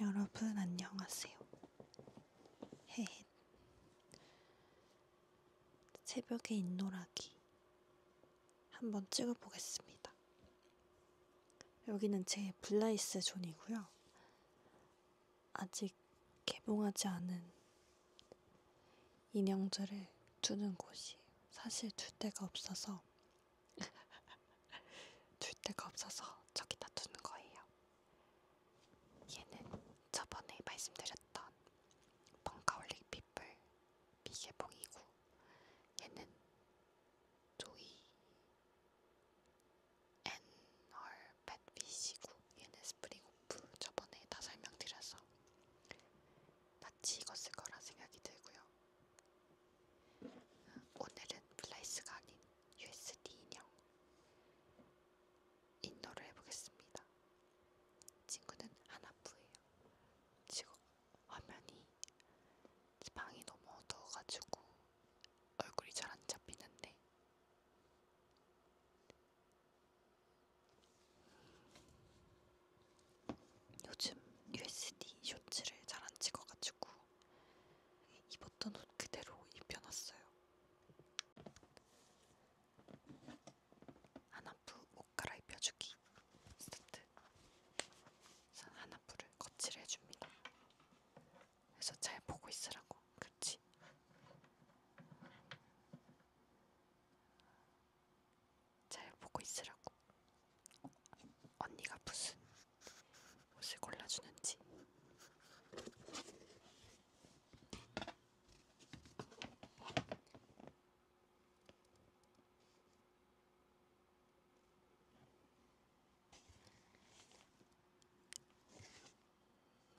여러분 안녕하세요. 헤헷 새벽의 윷놀라기 한번 찍어보겠습니다. 여기는 제 블라이스 존이고요. 아직 개봉하지 않은 인형들을 두는 곳이에요. 사실 둘 데가 없어서 둘 데가 없어서 저기다 두는 거예요. 얘는 저번에 말씀드렸던 펑카올릭 핏불 미개봉이고 얘는 조이 앤얼 뱃피시고 얘는 스프링오프 저번에 다 설명드려서 마치 익었을 거라 생각이 들고요. 오늘은 플라이스가 아닌 USD 인형 인너를 해보겠습니다. 친구는 하나프예요. 지금 화면이 방이 너무 어두워가지고 얼굴이 잘 안 잡히는데 요즘 USD 쇼츠를 잘 안 찍어가지고 입었던 옷 그대로 입혀놨어요. 하나프 옷 갈아입혀주기 세트 하나프를 거칠해줍니다. 그래서 잘 보고 있으라고 그치? 잘 보고 있으라고 언니가 무슨 옷을 골라주는지.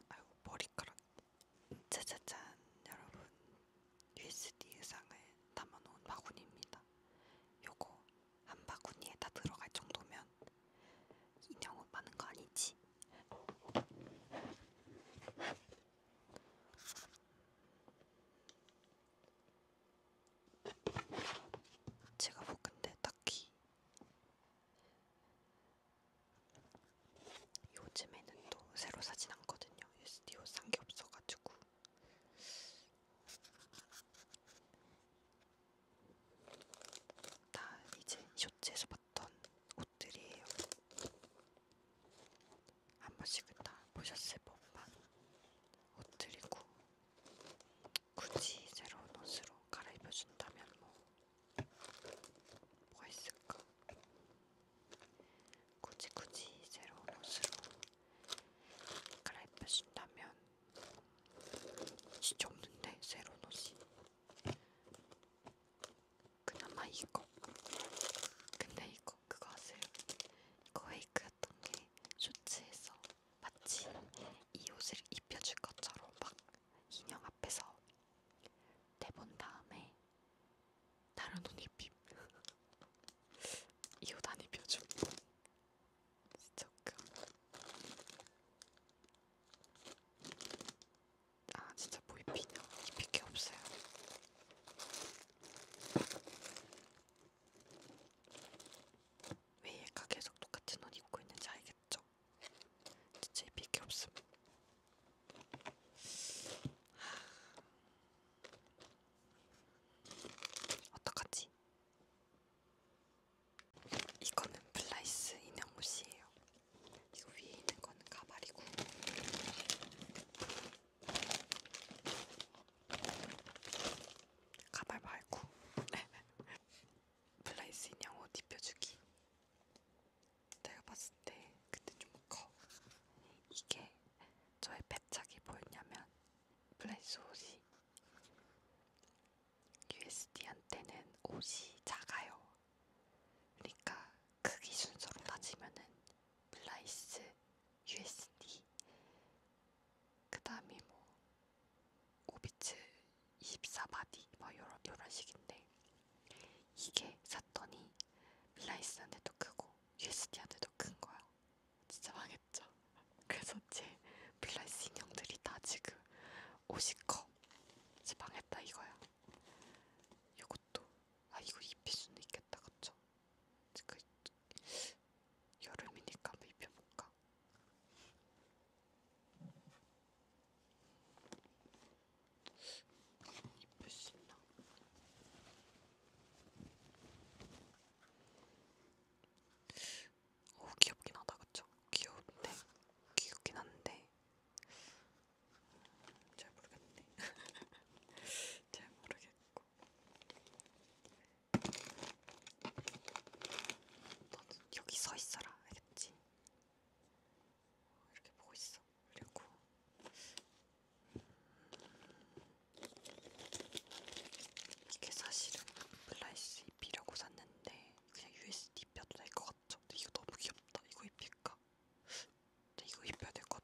아유 머리카락 짜자잔 여러분 USD 의상을 담아놓은 바구니입니다. 요거 한 바구니에 다 들어갈 정도면 인형 오빠는 거 아니지? 제가 뭐 근데 딱히 요즘에는 또 새로 사진 않거든요. 스디오 산게 없어가지고 다 이제 쇼츠에서 봤던 옷들이에요. 한 번씩은 다 보셨을 법한 옷들이고 굳이 새로운 옷으로 갈아입혀준다면 뭐 뭐가 있을까? 굳이 굳이 새로운 옷으로 갈아입혀준다면 진짜 없는데 새로운 옷이 그나마 이거 근데 이거 그거 아세요? 이거 헤이크였던 게 쇼츠에서 마치 이 옷을 입혀줄 것처럼 막 인형 앞에서 대본 다음에 다른 옷 입힘 이옷 안 입혀줌 지척금 아 진짜 뭐 입히냐 입힐게 없어요 왜 얘가 계속 똑같은 옷 입고 있는지 알겠죠? 진짜 입힐게 없음 어떡하지? 이거는 플라이스 인형 옷이에요. 이거 위에 있는 거는 가발이고. 가발 말고 플라이스 인형 옷 입혀주기 내가 봤을 때 그때 좀커 이게 저의 패착이 뭐였냐면 플라이스 옷이 USD한테는 옷이 작아요. 그러니까 크기 순서로 따지면은 플라이스 USD 그 다음이 뭐 5비츠 24바디 뭐 요런, 요런 식인데 이게 샀더니 플라이스한테도 크고 USD한테도 큰 거야. 진짜 망했죠. 그래서 제 플래시 인형들이 다 지금 옷이 커. 지방했다 이거야. 이것도 아 이거 입힐 수는 있겠다 그쵸? 지금 그 여름이니까 한번 입혀볼까? 입힐 수 있나? 오, 귀엽긴 하다, 그쵸? 귀여운데, 귀엽긴 한데, 잘 모르겠네. 잘 모르겠고. 너는 여기 서 있어라, 알겠지? 이렇게 보고 있어. 그리고 이게 사실은 플라이스 잎이라고 샀는데 그냥 USD 입혀도 될 것 같죠? 근데 이거 너무 귀엽다. 이거 입힐까? 근데 이거 입혀야 될 것 같아.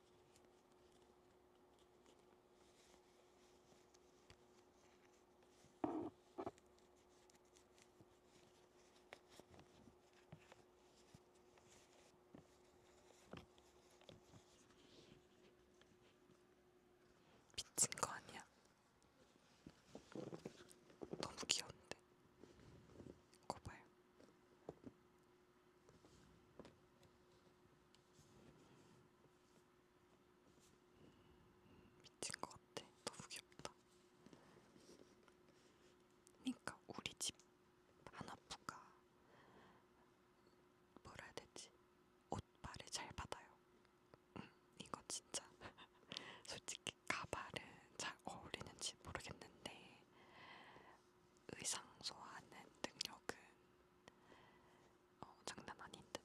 미친 거 아니야? 너무 귀여운데. 거봐요. 미친 것 같아. 너무 귀엽다. 그러니까 우리 집 하나부가 뭐라 해야 되지? 옷발을 잘 받아요. 음, 이거 진짜 솔직히 가발은 잘 어울리는지 모르겠는데 의상 소화하는 능력은 어, 장난 아닌데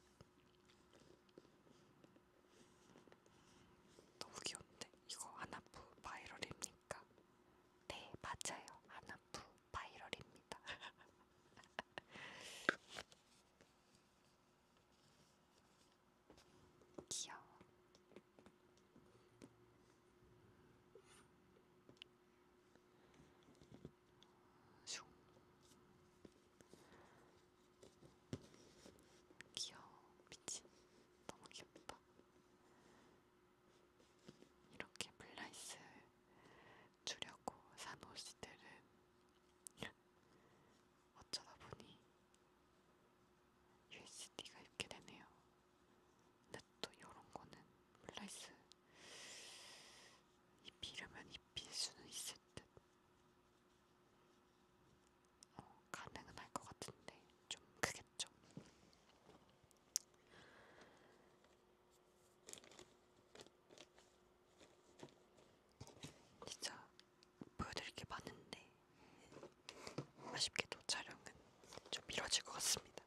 너무 귀여운데 이거 하나부 바이럴입니까? 네 맞아요 하나부 바이럴입니다. 귀여워. 귀여워 미친 너무 귀엽다 이렇게 블라이스 주려고 산 옷들은 어쩌다 보니 USD가 입게 되네요. 근데 또 이런 거는 플라이스 입히려면 입힐 수는 있을 듯. 어, 가능은 할 것 같은데 좀 크겠죠. 진짜 보여드릴 게 많은데 아쉽게도 촬영은 좀 미뤄질 것 같습니다.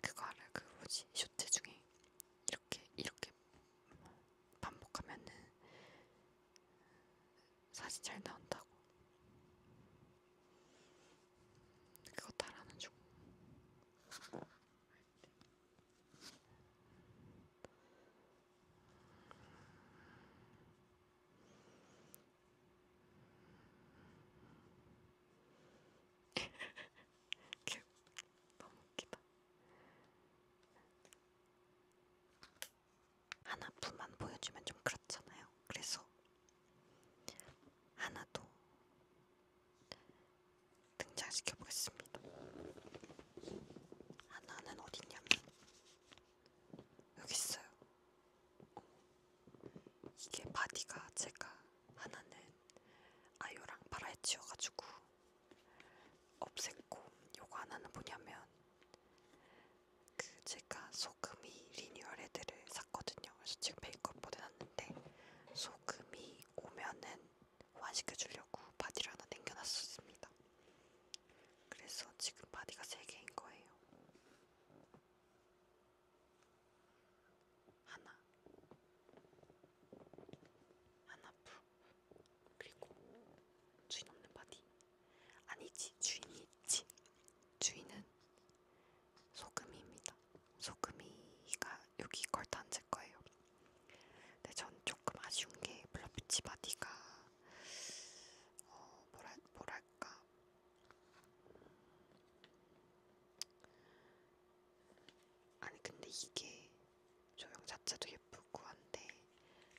그거를 그 뭐지 쇼트 중에 이렇게 이렇게 반복하면은 사진 잘 나온다고 그거 따라하는 중. 너무 웃기다. 하나뿐만 보여주면 좀 그렇잖아요. 그래서 하나 더 등장시켜 보겠습니다. 하나는 아, 어딨냐면 여기 있어요. 이게 바디가 제가 하나는 아이오랑 파라에 치워가지고 없앴고 요거 하나는 뭐냐면 그 제가 소금이 리뉴얼 헤드를 샀거든요. 그래서 지금 메이크업 보내놨는데 소금이 오면은 환시켜주려고 바디를 하나 남겨놨습니다. 그래서 지금 바디가 3개인 거예요. 하나, 하나 풀, 그리고 주인 없는 바디. 아니지, 주인이 있지. 주인은 소금이입니다. 소금이가 여기 걸터 앉을 거예요. 근데 전 조금 아쉬운 게 블러피치 바디가 어, 뭐랄, 뭐랄까 아니 근데 이게 조형 자체도 예쁘고 한데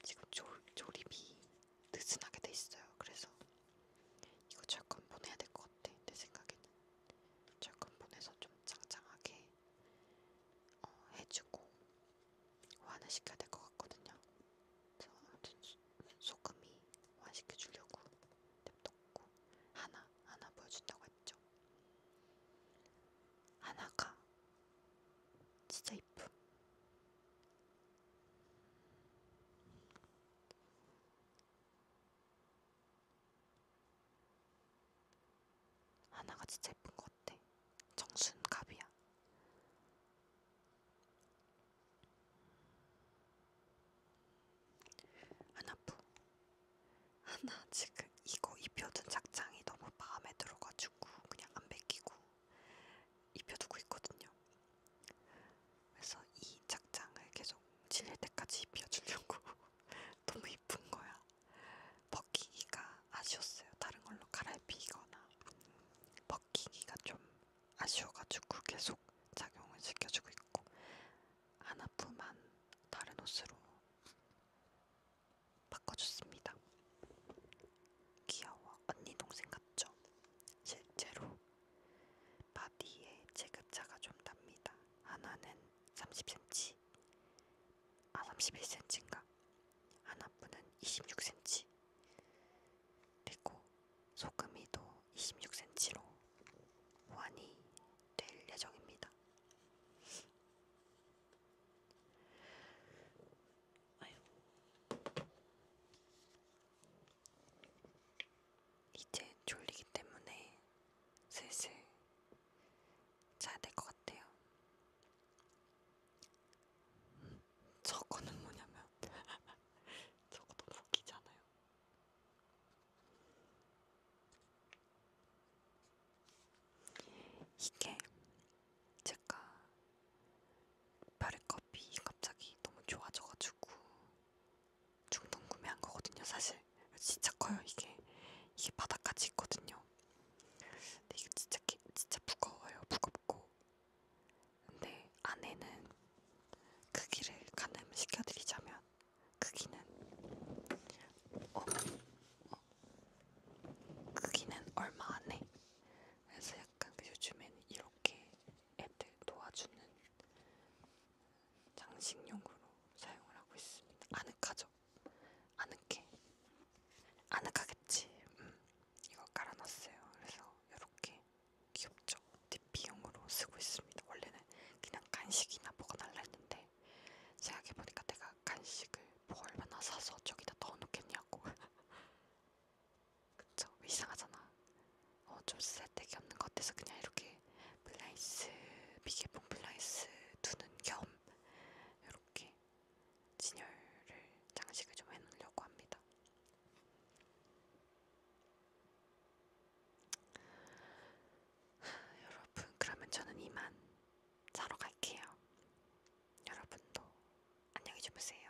지금 조, 조립이 느슨하게 돼 있어요. 그래서 이거 철권 보내야 될 것 같아. 내 생각에는 철권 보내서 좀 장장하게 어, 해주고 완화시켜야 될 것 같거든요. 저 아무튼 소금이 완화시켜 주려고 냅뒀고 하나 하나 보여준다고 했죠. 하나가 진짜 이쁨. 하나가 진짜 예쁜 것 같아. 정순갑이야. 안 아프. 아, 나 지금 이거 입혀둔 착장이 너무 마음에 들어가지고 그냥 안 벗기고 입혀두고 있거든요. 그래서 이 착장을 계속 지낼 때까지 입혀주려고 너무 이쁜 거야. 벗기기가 아쉬웠어요. 다른 걸로 갈아입히거나 벗기기가 좀 아쉬워가지고 계속 작용을 시켜주고 있고 하나품만 다른 옷으로 바꿔줬습니다. 귀여워. 언니 동생 같죠? 실제로 바디에 체급차가 좀 납니다. 하나는 30cm, 아 31cm인가? 하나뿐은 26cm 그리고 소금이도 26cm로 보완이 될 예정입니다. 아유. 이제 졸리기 때문에 슬슬 자야 될것 같아요. 저거는 뭐냐면 저것도 웃기잖아요. 이게 제가 별의 커피 갑자기 너무 좋아져가지고 중동 구매한 거거든요. 사실 진짜 커요 이게 이게 바닥까지 있거든요. 근데 이게 진짜 진짜 무거워요. 무겁고. 근데 안에는 크기를 가늠시켜드리자면 크기는 어, 어. 크기는 얼마 안 해. 그래서 약간 그 요즘에는 이렇게 애들 도와주는 장식용으로 사용을 하고 있습니다. 아늑하죠? 아늑해. 아늑하겠지. 음, 이거 깔아놨어요. 그래서 이렇게 귀엽죠. DP용으로 쓰고 있습니다. 원래는 그냥 간식이나 먹어달라 했는데 생각해보니까 내가 간식을 뭐 얼마나 사서 저기다 넣어놓겠냐고. 그쵸? 이상하잖아. 어, 좀 쓸데기 없는 것 같아서 그냥 이렇게 블라이스, 미개봉 블라이스 두는 겸 이렇게 진열을 장식을 좀 해놓으려고 합니다. 하, 여러분, 그러면 저는 이만 자러 갈게요. 여러분도 안녕히 주무세요.